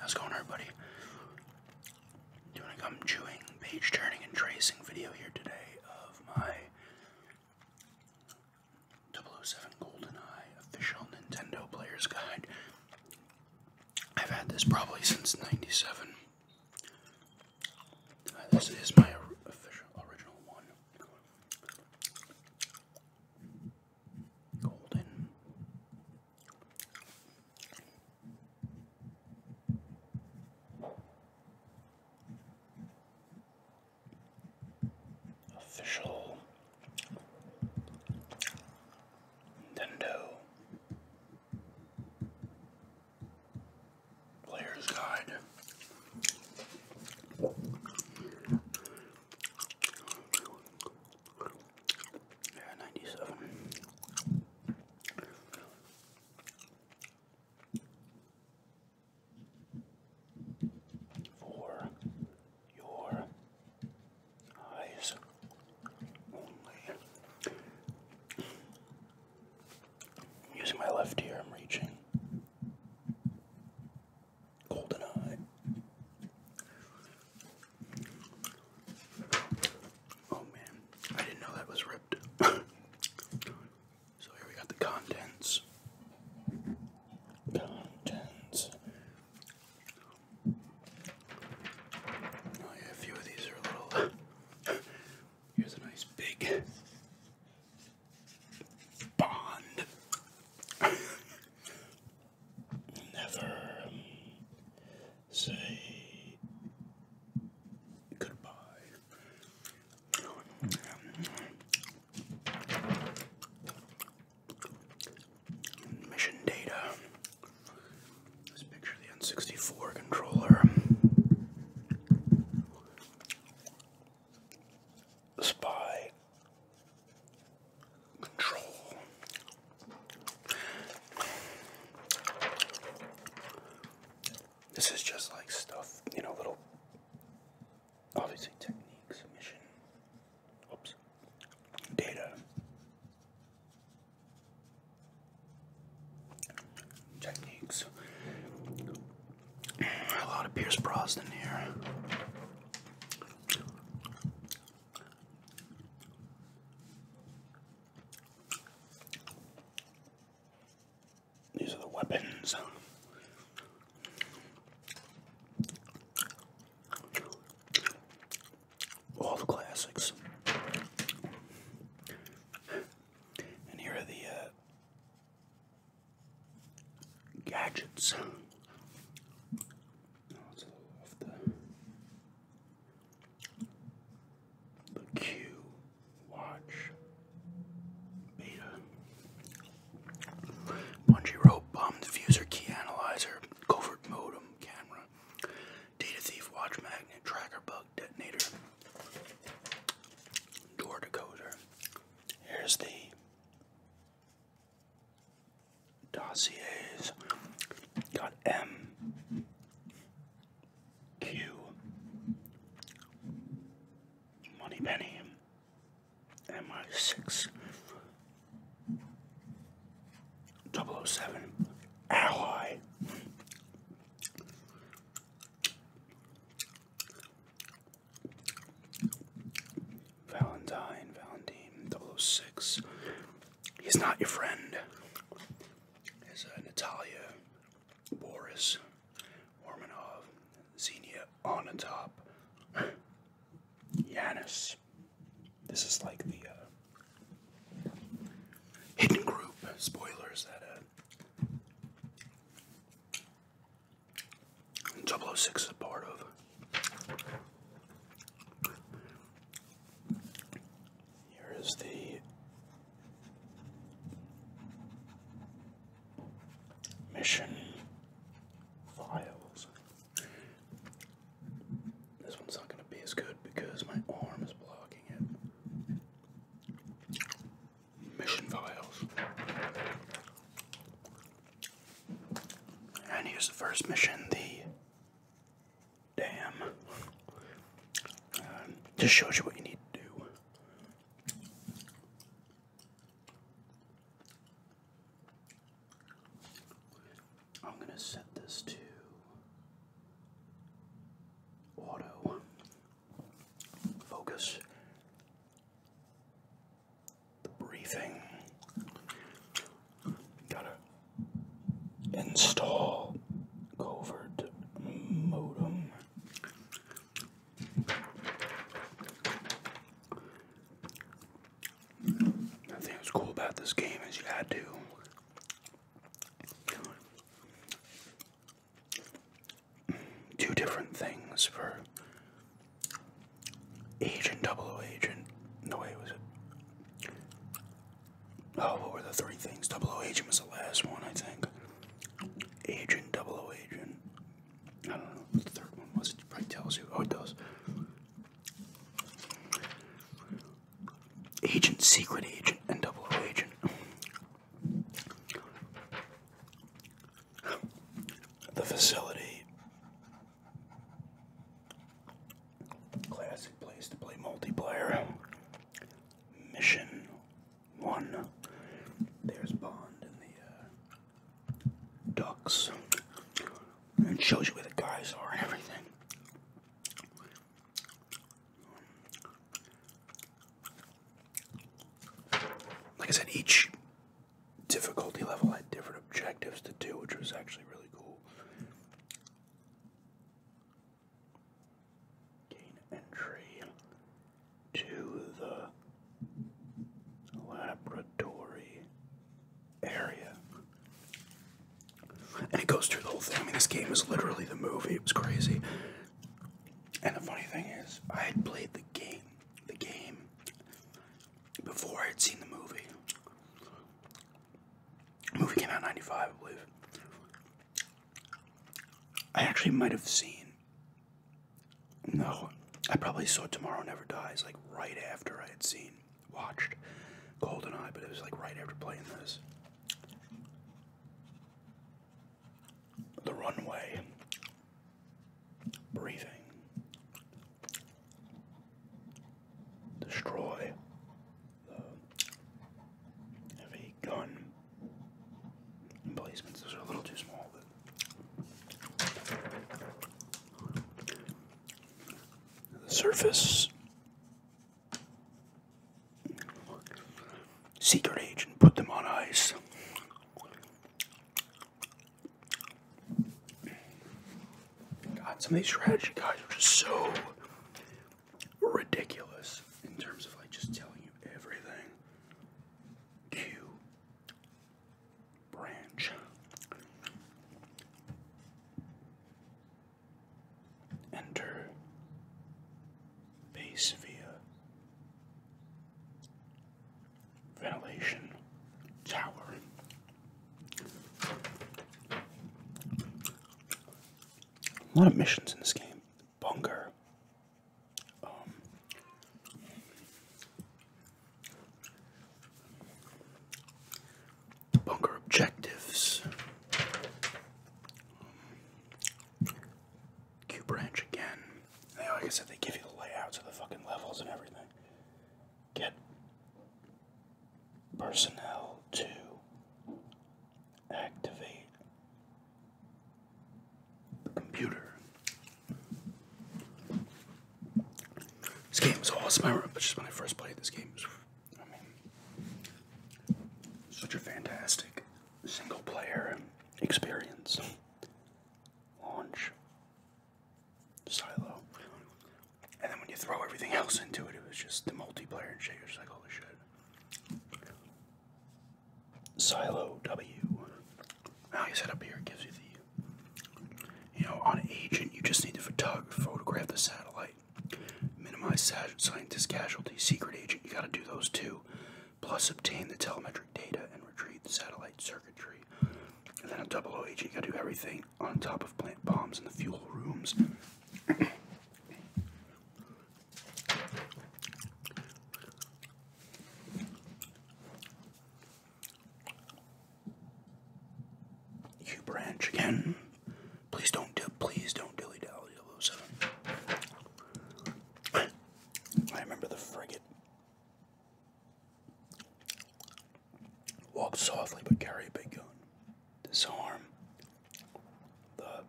How's it going, everybody? Doing a gum chewing, page turning, and tracing video here today of my 007 Golden Eye official Nintendo Player's Guide. I've had this probably since 97. Uh, this is my official original one. Golden. Official Nintendo Player's Guide yeah, ninety-seven. For your eyes only. using my left ear, I'm reaching. GoldenEye. Oh man, I didn't know that was ripped. so here we got the contents. Contents. Oh yeah, a few of these are a little. Here's a nice big bond. Never say goodbye. Mission data. This picture the N64 controller spy control. This is just like stuff, you know, little obviously technique submission. Oops. Data. Techniques. A lot of Pierce Brosnan here. These are the weapons. All the classics. And here are the uh, gadgets. the, the watch beta bungee rope bomb diffuser key analyzer covert modem camera data thief watch magnet tracker bug detonator door decoder. Here's the dossiers dot M Q Money Penny MI six 007 Ally Valentine, Valentine, 006. He's not your friend. Is uh, Natalia, Boris, Ormanov, Xenia on the top. Yanis. This is like the uh, hidden group spoilers that uh, 006 is a part of. Here is the mission files. This one's not going to be as good because my arm is blocking it mission files. And here's the first mission, the dam. Um, just shows you what you need to do. I'm going to set this to auto focus the breathing. Gotta install covert modem. The thing that's cool about this game is you had to two different things for Agent Double O Agent. No way was Oh, what were the three things? Double O Agent was the last one, I think. Agent Double O Agent. I don't know the third one was. probably tells you. Oh, it does. Agent Secret Agent and Double O Agent the facility. Classic place to play multiplayer. Mission one. There's Bond in the uh, ducks. And shows you where the guys are and everything. Like I said, each difficulty level had different objectives to do, which was actually really cool. Gain entry to the laboratory area. And it goes through the whole thing. I mean, this game is literally the movie. It was crazy. And the funny thing is, I had played the game, the game, before I had seen the movie. movie came out in 95, I believe. I actually might have seen. No, I probably saw Tomorrow Never Dies like right after I had seen, watched Golden Eye, but it was like right after playing this. The runway breathing, destroy heavy gun emplacements. Those are a little too small, surface. Secret agent put them on ice. God, some of these strategy guys are just so ridiculous in terms of like just telling you everything. To branch. Enter base via ventilation tower. A lot of missions in this game. Bunker. Um, bunker objectives. Um, branch again. like I said, they give you the layouts of the fucking levels and everything get personnel to activate the computer. This game is awesome. I remember just when I first played this game. Was, I mean, such a fantastic single player experience. Launch silo. And then when you throw everything else into it, it was just the multiplayer and shit. You're like, holy shit. Silo W. Now I said up here, it gives you the, you know, on agent, you just need to photog photograph the satellite. Minimize scientist casualty. Secret agent, you got to do those two. Plus, obtain the telemetry data and retrieve the satellite circuitry. And then a double OH, you gotta do everything on top of plant bombs in the fuel rooms. You branch again. Please don't do please don't dilly dally 007. I remember the frigate. Walk softly but carry a big gun. Disarm the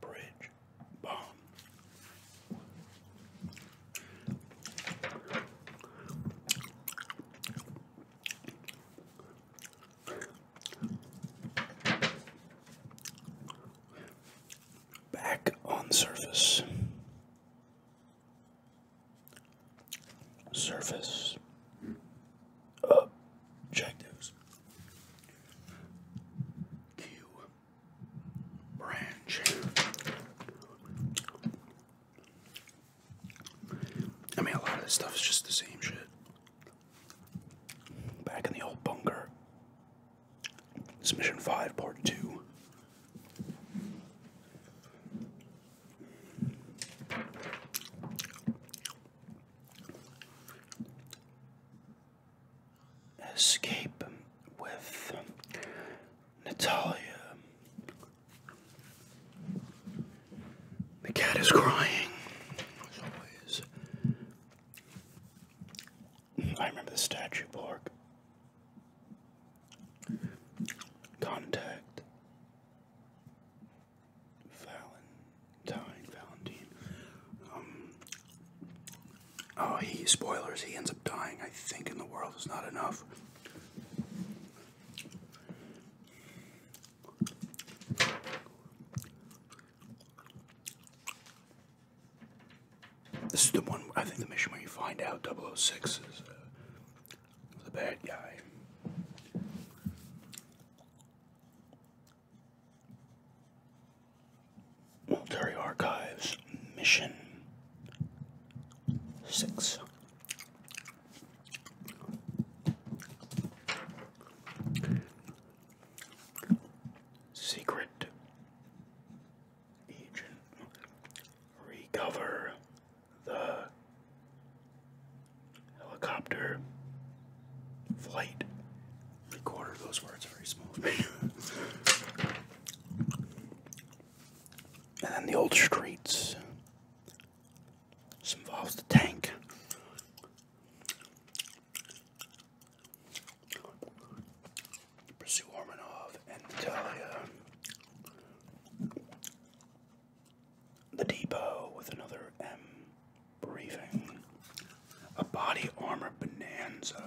bridge bomb. Back on surface surface objectives. Q branch. I mean, a lot of this stuff is just the same shit. Back in the old bunker. It's Mission 5, Part 2. Escape with Natalia. The cat is crying, I remember the statue park Contact Valentine, Valentine. Um, oh, he, spoilers, he ends up dying, I think, in the world is not enough. This is the one, I think the mission where you find out 006 is uh, the bad guy. Military Archives Mission 6. Secret recover the helicopter flight recorder. Those words are very smooth. and then the old streets. This involves the tank. Pursue Ormanov and Natalia. The Depot with another M briefing. A body armor bonanza.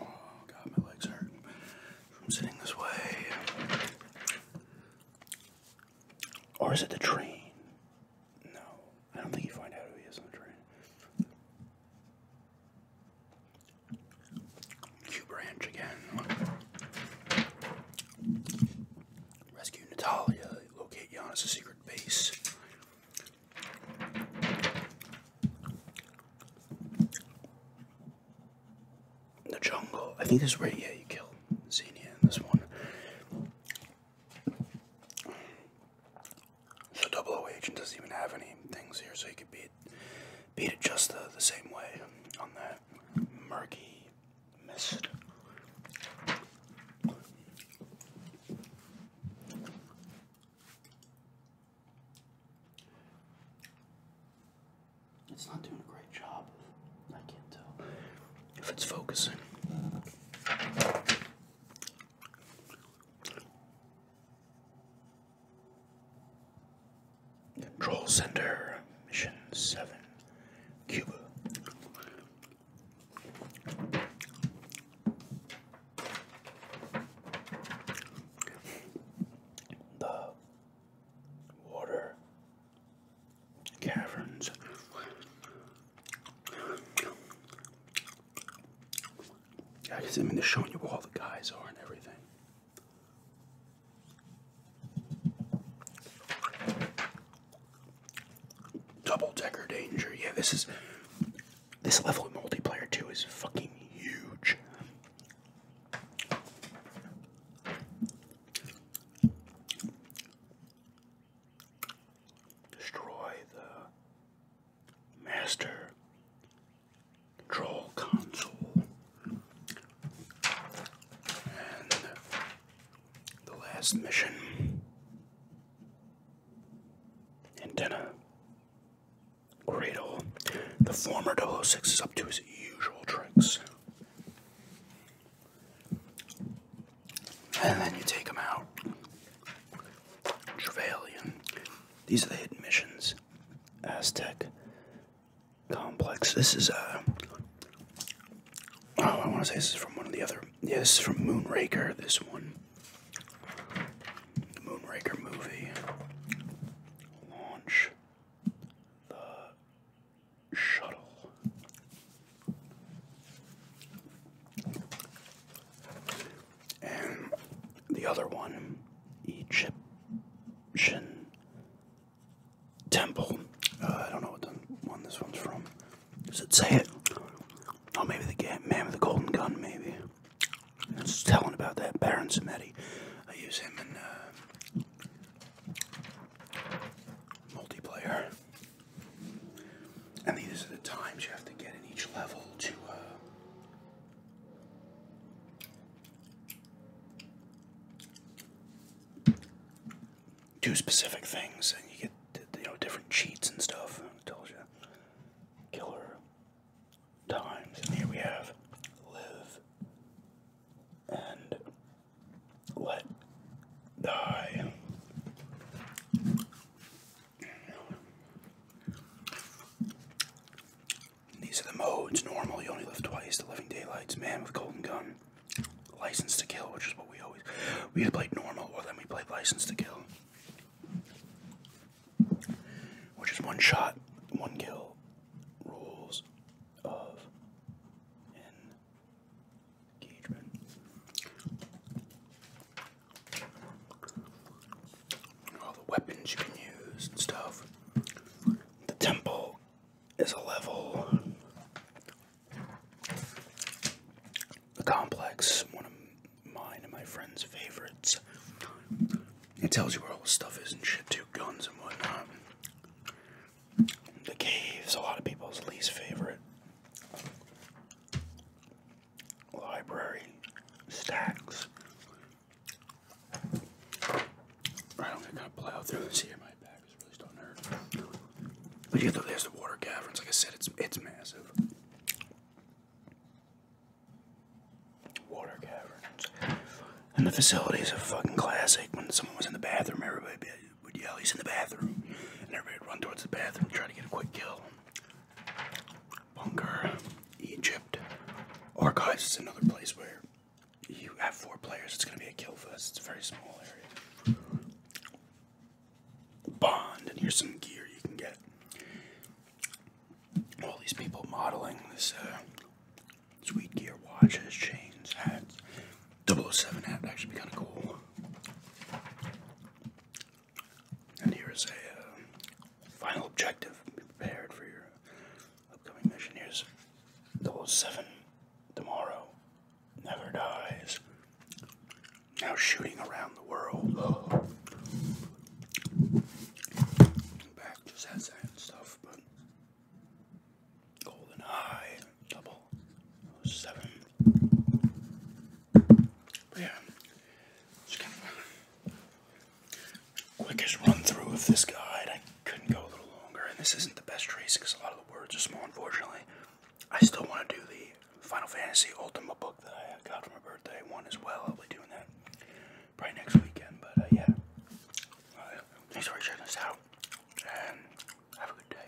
Oh, god, my legs hurt from sitting this way. Or is it the train? No, I don't think you find out who he is on the train. Q Branch again. Rescue Natalia. Locate Giannis' secret base. The jungle. I think this is where yeah you kill Xenia in this one. So double O agent doesn't even have any things here, so you could beat beat it just the, the same way on that murky mist. It's not doing a great job. I can't tell if it's focusing. Control Center, Mission 7, Cuba. The water caverns yeah, I mean, they're showing you where all the guys are and everything. Double decker danger. Yeah, this is this level of multiplayer too is fucking huge destroy the master control console and the last mission antenna cradle the former 006 is up to his usual tricks and then you take them out. Trevelyan. These are the hidden missions. Aztec complex. This is uh oh, I want to say this is from one of the other. Yeah, this is from Moonraker. This one, the Moonraker movie launch the shuttle. And the other one, Egyptian Temple. Uh, I don't know what this one's from. Does it say it? Oh, maybe the Man with the Golden Gun, maybe. I was telling about that Baron Samedi. I use him in uh, multiplayer. And these are the times you have to get in each level to. Uh, do specific things, and you get you know different cheats and stuff. And it you killer times, and here we have live and let die. These are the modes. Normal, you only live twice. The Living Daylights, Man with Golden Gun, License to Kill, which is what we always we had played normal, or then we played License to Kill, which is one shot, one kill rules of all the weapons you can use and stuff. The temple is a level. The complex, one of mine and my friend's favorites. It tells you where all the stuff is and shit Two guns and whatnot. The cave's a lot of people's least favorite library stacks. I don't think I plow through this My back is really starting to hurt. But yeah, there's the water caverns. Like I said, it's it's massive. Water caverns. And the facility is a fucking classic. When someone was in the bathroom, everybody would yell, he's in the bathroom. And everybody would run towards the bathroom, try to get a quick kill. Bunker, Egypt. Archives is another place where you have four players, it's going to be a kill fest. It's a very small area. Bond, and here's some gear you can get. All these people modeling this uh, sweet gear, watches, chains, hats. 007 hat would actually be kind of cool. And here is a uh, final objective. Be prepared for your upcoming mission. Here's 007 tomorrow. Never dies. Now shooting around the world. Back just has that stuff, but Golden Eye, double, seven yeah, just kind of quickest run through of this guide. I couldn't go a little longer, and this isn't the best trace because a lot of the words are small, unfortunately. I still want to do the Final Fantasy Ultima book that I got for my birthday one as well. I'll be doing that probably next weekend, but uh, yeah. thanks for checking us out, and have a good day.